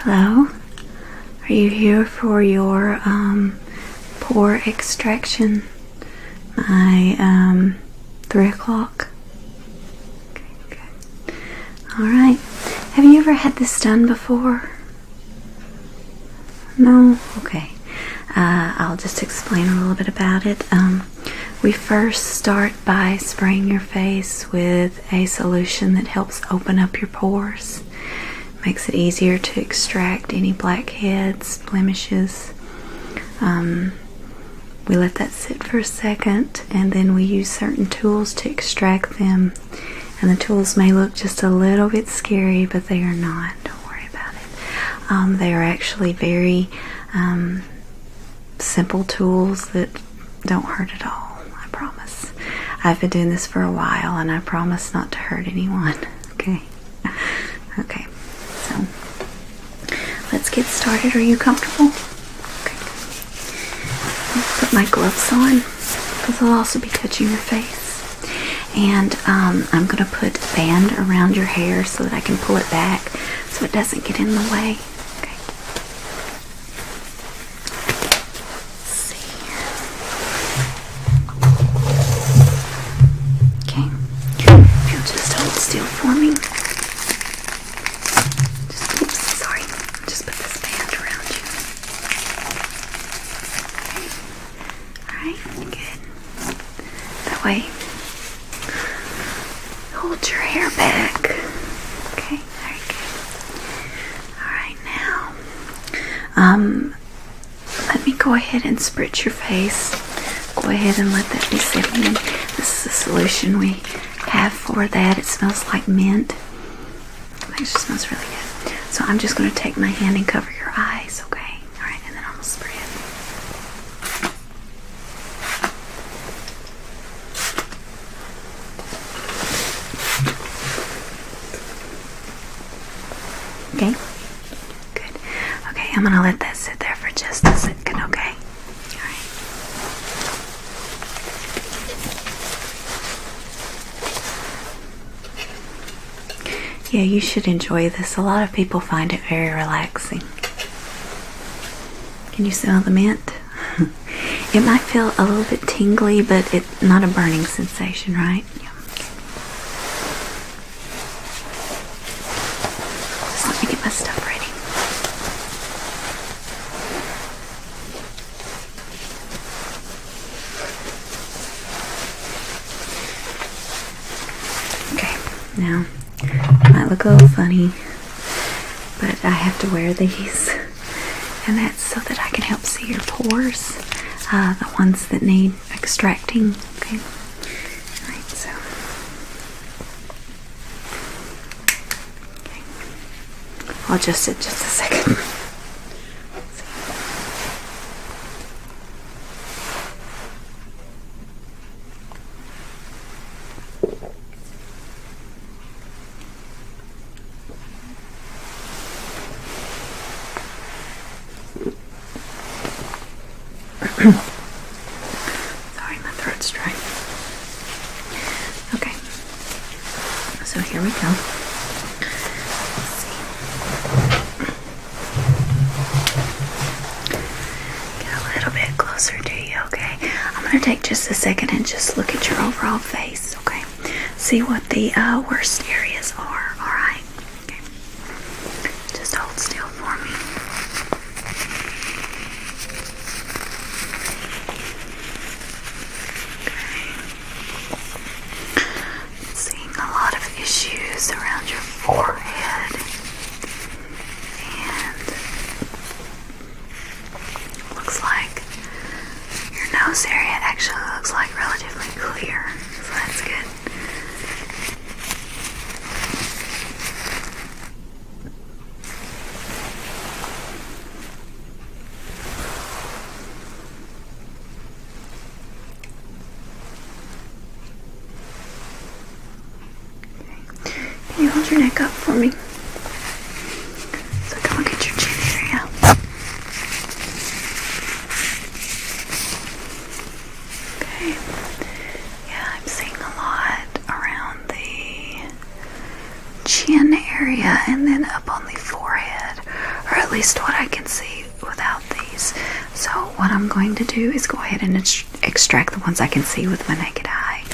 Hello? Are you here for your um, pore extraction? My um, three o'clock. Okay, All right. Have you ever had this done before? No. Okay. Uh, I'll just explain a little bit about it. Um, we first start by spraying your face with a solution that helps open up your pores, makes it easier to extract any blackheads, blemishes. Um, we let that sit for a second and then we use certain tools to extract them. And the tools may look just a little bit scary, but they are not. Don't worry about it. Um, they are actually very um, simple tools that don't hurt at all. I promise. I've been doing this for a while and I promise not to hurt anyone. Okay. Okay. So let's get started. Are you comfortable? Okay. I'll put my gloves on because I'll also be touching your face. And um, I'm going to put band around your hair so that I can pull it back so it doesn't get in the way. Okay. Okay. Now just hold still for me. oops, sorry. Just put this band around you. Alright, good. That way. Hold your hair back. Okay. Very good. Alright, now, um, let me go ahead and spritz your face. Go ahead and let that be setting This is the solution we have for that. It smells like mint. It smells really good. So I'm just going to take my hand and cover your eyes, okay? Alright, and then I'm going to spray it. Okay. Good. Okay, I'm gonna let that sit there for just a second, okay? Alright. Yeah, you should enjoy this. A lot of people find it very relaxing. Can you smell the mint? it might feel a little bit tingly, but it's not a burning sensation, right? let me get my stuff ready. Okay, now might look a little funny, but I have to wear these, and that's so that I can help see your pores, uh, the ones that need extracting. Okay, all right, so. Okay. I'll just sit just a second. Sorry, my throat's dry. Okay, so here we go a little bit closer to you, okay? I'm going to take just a second and just look at your overall face, okay? See what the uh, worst areas are, alright? Okay. Just hold still for me. Seeing a lot of issues around your forehead Looks like your nose area actually looks like relatively clear, so that's good. Can you hold your neck up for me? So I can your chin area. Okay. Yeah, I'm seeing a lot around the chin area and then up on the forehead, or at least what I can see without these. So what I'm going to do is go ahead and extract the ones I can see with my naked eye,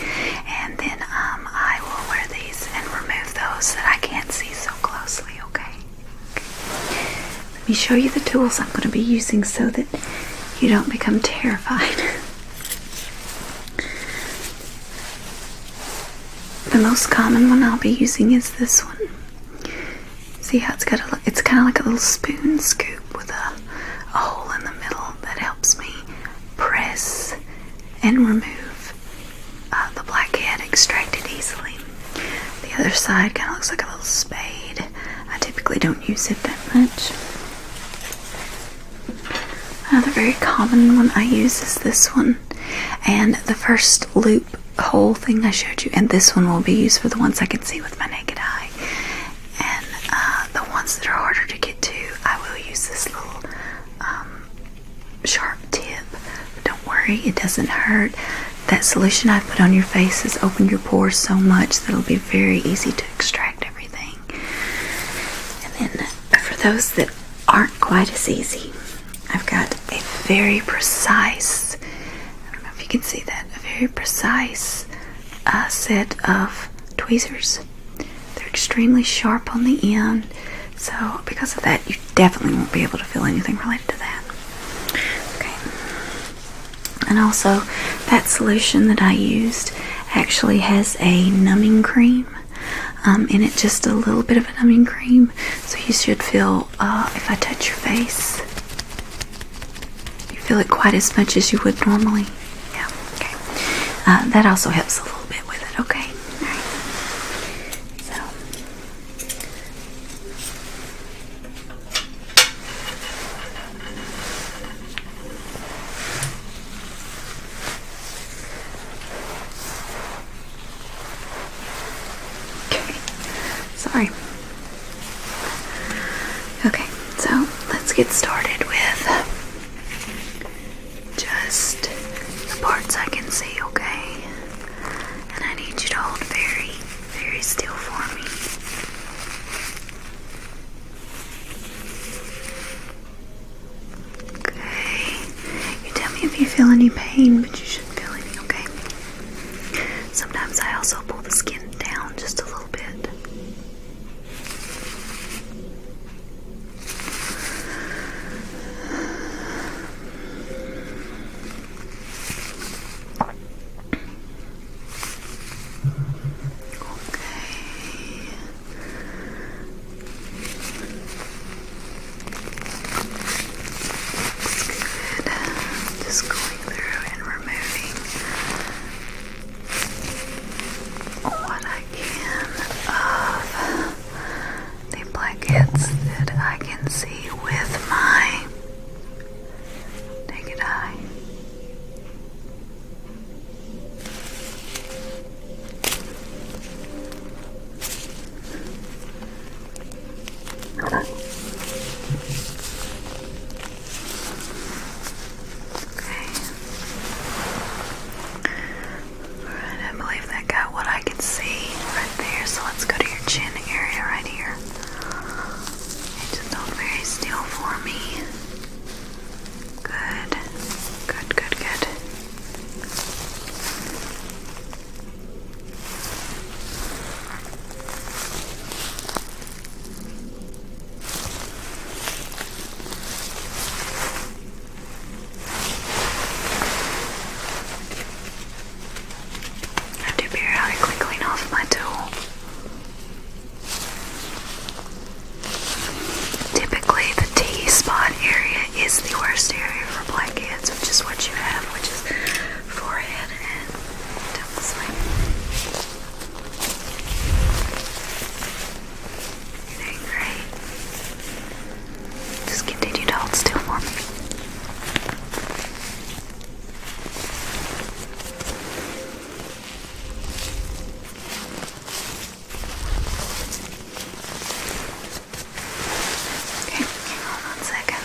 and then um, I will wear these and remove those that I can't see so closely. Okay. Let me show you the tools I'm going to be using so that you don't become terrified. the most common one I'll be using is this one. See how it's got a it's kind of like a little spoon scoop with a hole in the middle that helps me press and remove uh, the blackhead extracted easily. The other side kind of looks like a little spade. I typically don't use it that much. Another very common one I use is this one, and the first loop hole thing I showed you, and this one will be used for the ones I can see with my naked eye, and uh, the ones that are harder to get need I will use this little um, sharp tip. don't worry, it doesn't hurt. That solution I put on your face has opened your pores so much that it'll be very easy to extract everything. And then uh, for those that aren't quite as easy, I've got a very precise, I don't know if you can see that, a very precise a set of tweezers. They're extremely sharp on the end, so because of that, you definitely won't be able to feel anything related to that. Okay. And also, that solution that I used actually has a numbing cream um, in it, just a little bit of a numbing cream, so you should feel uh, if I touch your face you feel it quite as much as you would normally. Yeah, okay. Uh, that also helps a little bit with it, okay? All right. So. Okay. Sorry. Okay. So let's get started with just the parts I can see, okay? And I need you to hold very, very still for me. Okay. You tell me if you feel any pain, but you shouldn't feel any, okay? Sometimes I also pull the skin down just a little bit. Looks good. Just going through and removing what I can of the blankets that I can see with my naked eye. Okay. Alright, I believe that got what I could see right there. So let's go to your chin area right here. And just hold very still for me. Good. Good, good, good. I have to periodically clean off my tool. Typically, the T spot area is the worst area for blackheads, which is what you have, which is forehead and temple sleep. Okay, great. Just continue to hold still for me. Okay, hang on one second.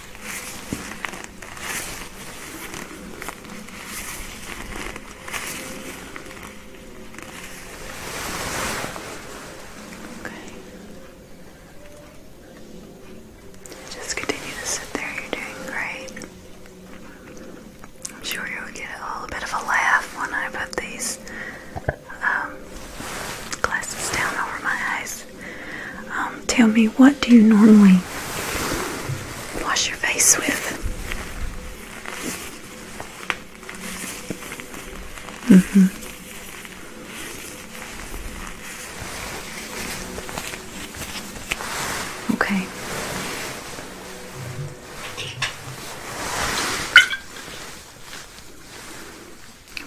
Just continue to sit there, you're doing great. I'm sure you'll get a little bit of a laugh when I put these um, glasses down over my eyes. Um, tell me, what do you normally wash your face with? Mm-hmm. Okay.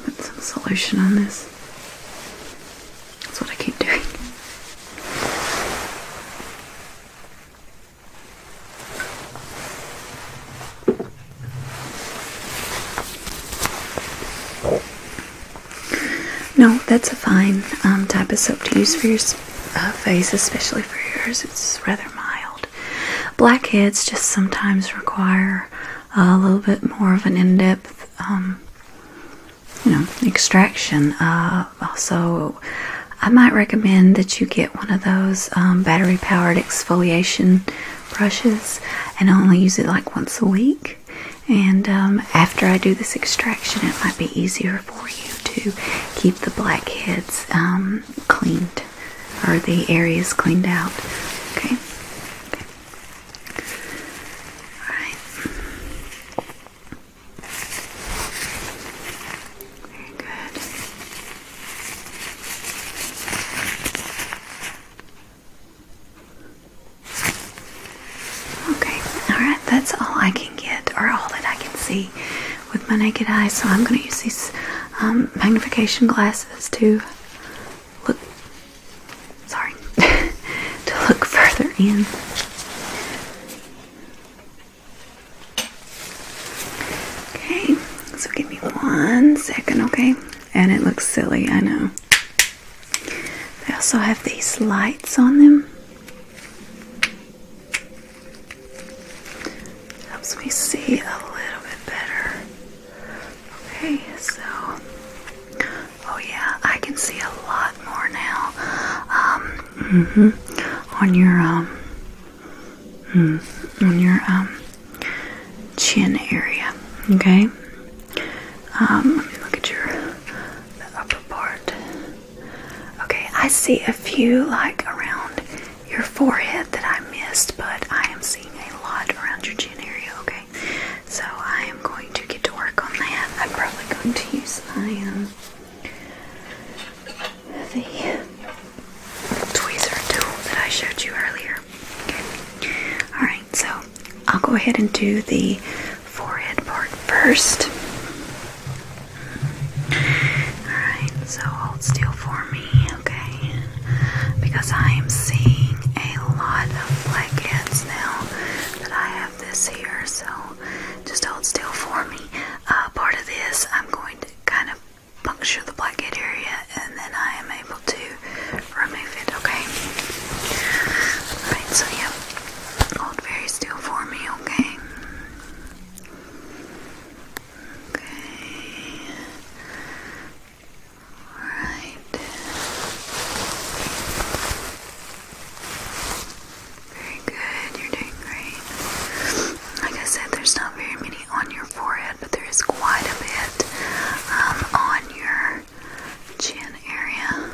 Put some solution on this. That's what I keep doing. No, that's a fine um, type of soap to use for your uh, face, especially for yours. It's rather mild. Blackheads just sometimes require a little bit more of an in-depth, um, you know, extraction. Uh, so, I might recommend that you get one of those um, battery-powered exfoliation brushes and only use it like once a week. And um, after I do this extraction, it might be easier for you to keep the blackheads cleaned or the areas cleaned out. okay. Alright. Very good. Okay, alright, that's all I can get, or all that I can see with my naked eye, so I'm going to use these um, magnification glasses too look sorry to look further in. Okay, so give me one second, okay? And it looks silly, I know. I also have these lights on them. Helps me see a little bit better. Okay, so oh yeah, I can see a lot more now. Um, mm-hmm. on your um, mm, on your um chin area. Okay. Um, let me look at your upper part. Okay, I see a few like around your forehead that I missed, but I am seeing a lot around your chin area, okay? So I am going to get to work on that. I'm probably going to use I um, the tweezer tool that I showed you earlier. Alright, so I'll go ahead and do the forehead part first. Alright, so hold still for me okay? Because I am seeing a lot of blackheads now that I have this here, so just hold still for me. Uh, part of this, I'm going to kind of puncture the blackhead area and then I am able to remove it, okay? Alright, so yeah, hold very still for me, okay? Okay. Alright. Very good, you're doing great. Like I said, there's not very many on your forehead, but there is quite a bit um, on your chin area.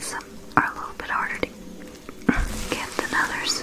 Some are a little bit harder to get than others.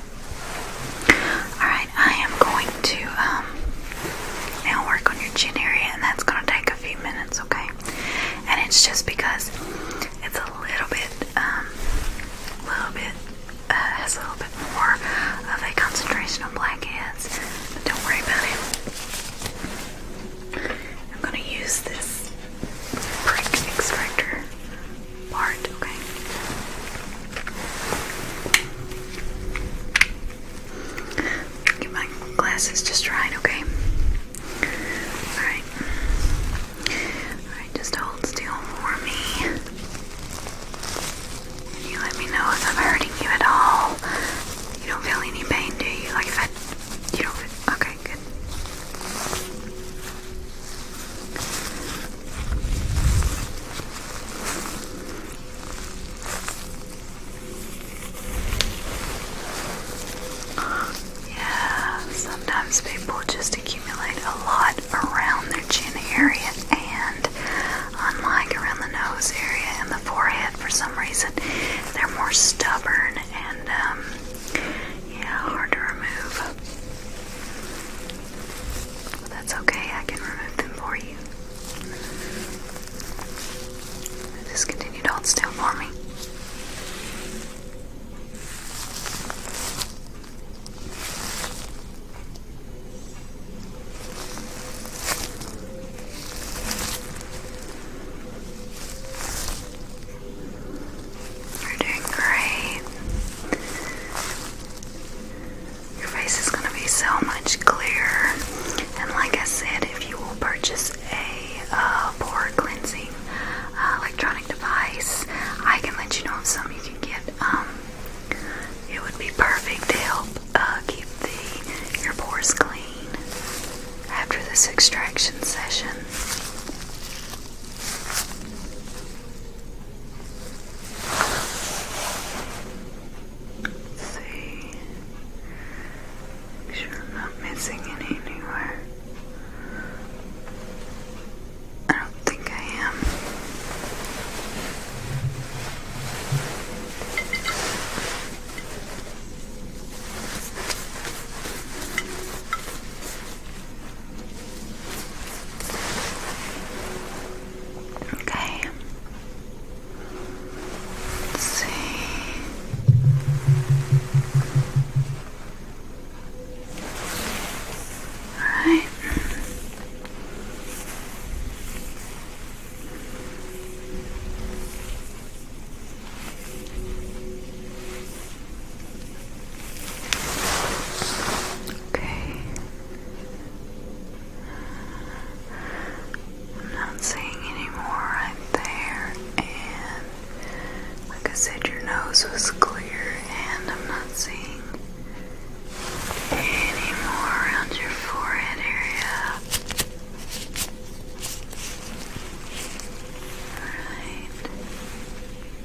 Alright, I am going to um, now work on your chin area, and that's going to take a few minutes, okay? And it's just because it's a little bit, a um, little bit, uh, has a little bit more of a concentration on blackheads, but don't worry about it. I'm going to use this prick extractor part, okay? Get my glasses just right, okay? Alright. Alright, just hold still for me. you let me know if I'm hurting you at all. You don't feel any pain, do you? Like if you don't okay, good. Yeah, sometimes people just accumulate a lot around their chin area and unlike around the nose area and the forehead for some reason they're more stubborn and um yeah hard to remove that's okay, I can remove them for you. Just continue to hold still for me. You're doing great. Your face is going to be so much clearer. And like I said, if you will purchase a uh, pore cleansing uh, electronic device, I can let you know of some you can get. Um, it would be perfect to help uh, keep the your pores clean after this extraction session see. Make sure I'm not missing any anywhere. I don't think I am. Okay. Let's see. All right. Okay. I'm not seeing anymore more right there, and like I said, your nose was clear, and I'm not seeing any around your forehead area. Alright.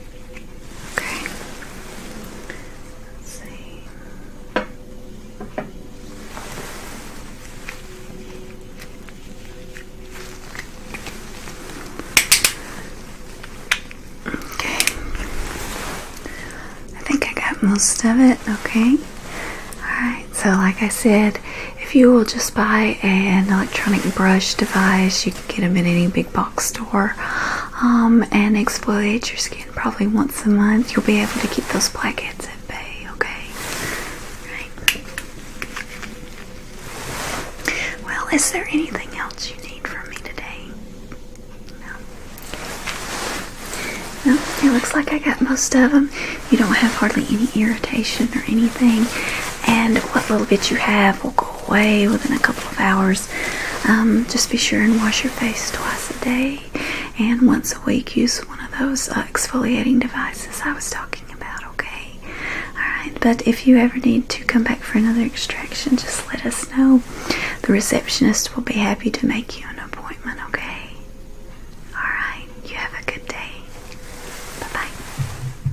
Okay. Let's see. Okay. I think I got most of it, okay? Alright, so like I said, if you will just buy an electronic brush device, you get them in any big box store um, and exfoliate your skin probably once a month. You'll be able to keep those blackheads at bay, okay? Right. Well, is there anything else you need from me today? No. No, it looks like I got most of them. You don't have hardly any irritation or anything, and what little bit you have will go go within a couple of hours. Um, just be sure and wash your face twice a day, and once a week use one of those uh, exfoliating devices I was talking about. Okay, all right. But if you ever need to come back for another extraction, just let us know. The receptionist will be happy to make you an appointment. Okay. All right. You have a good day. Bye bye.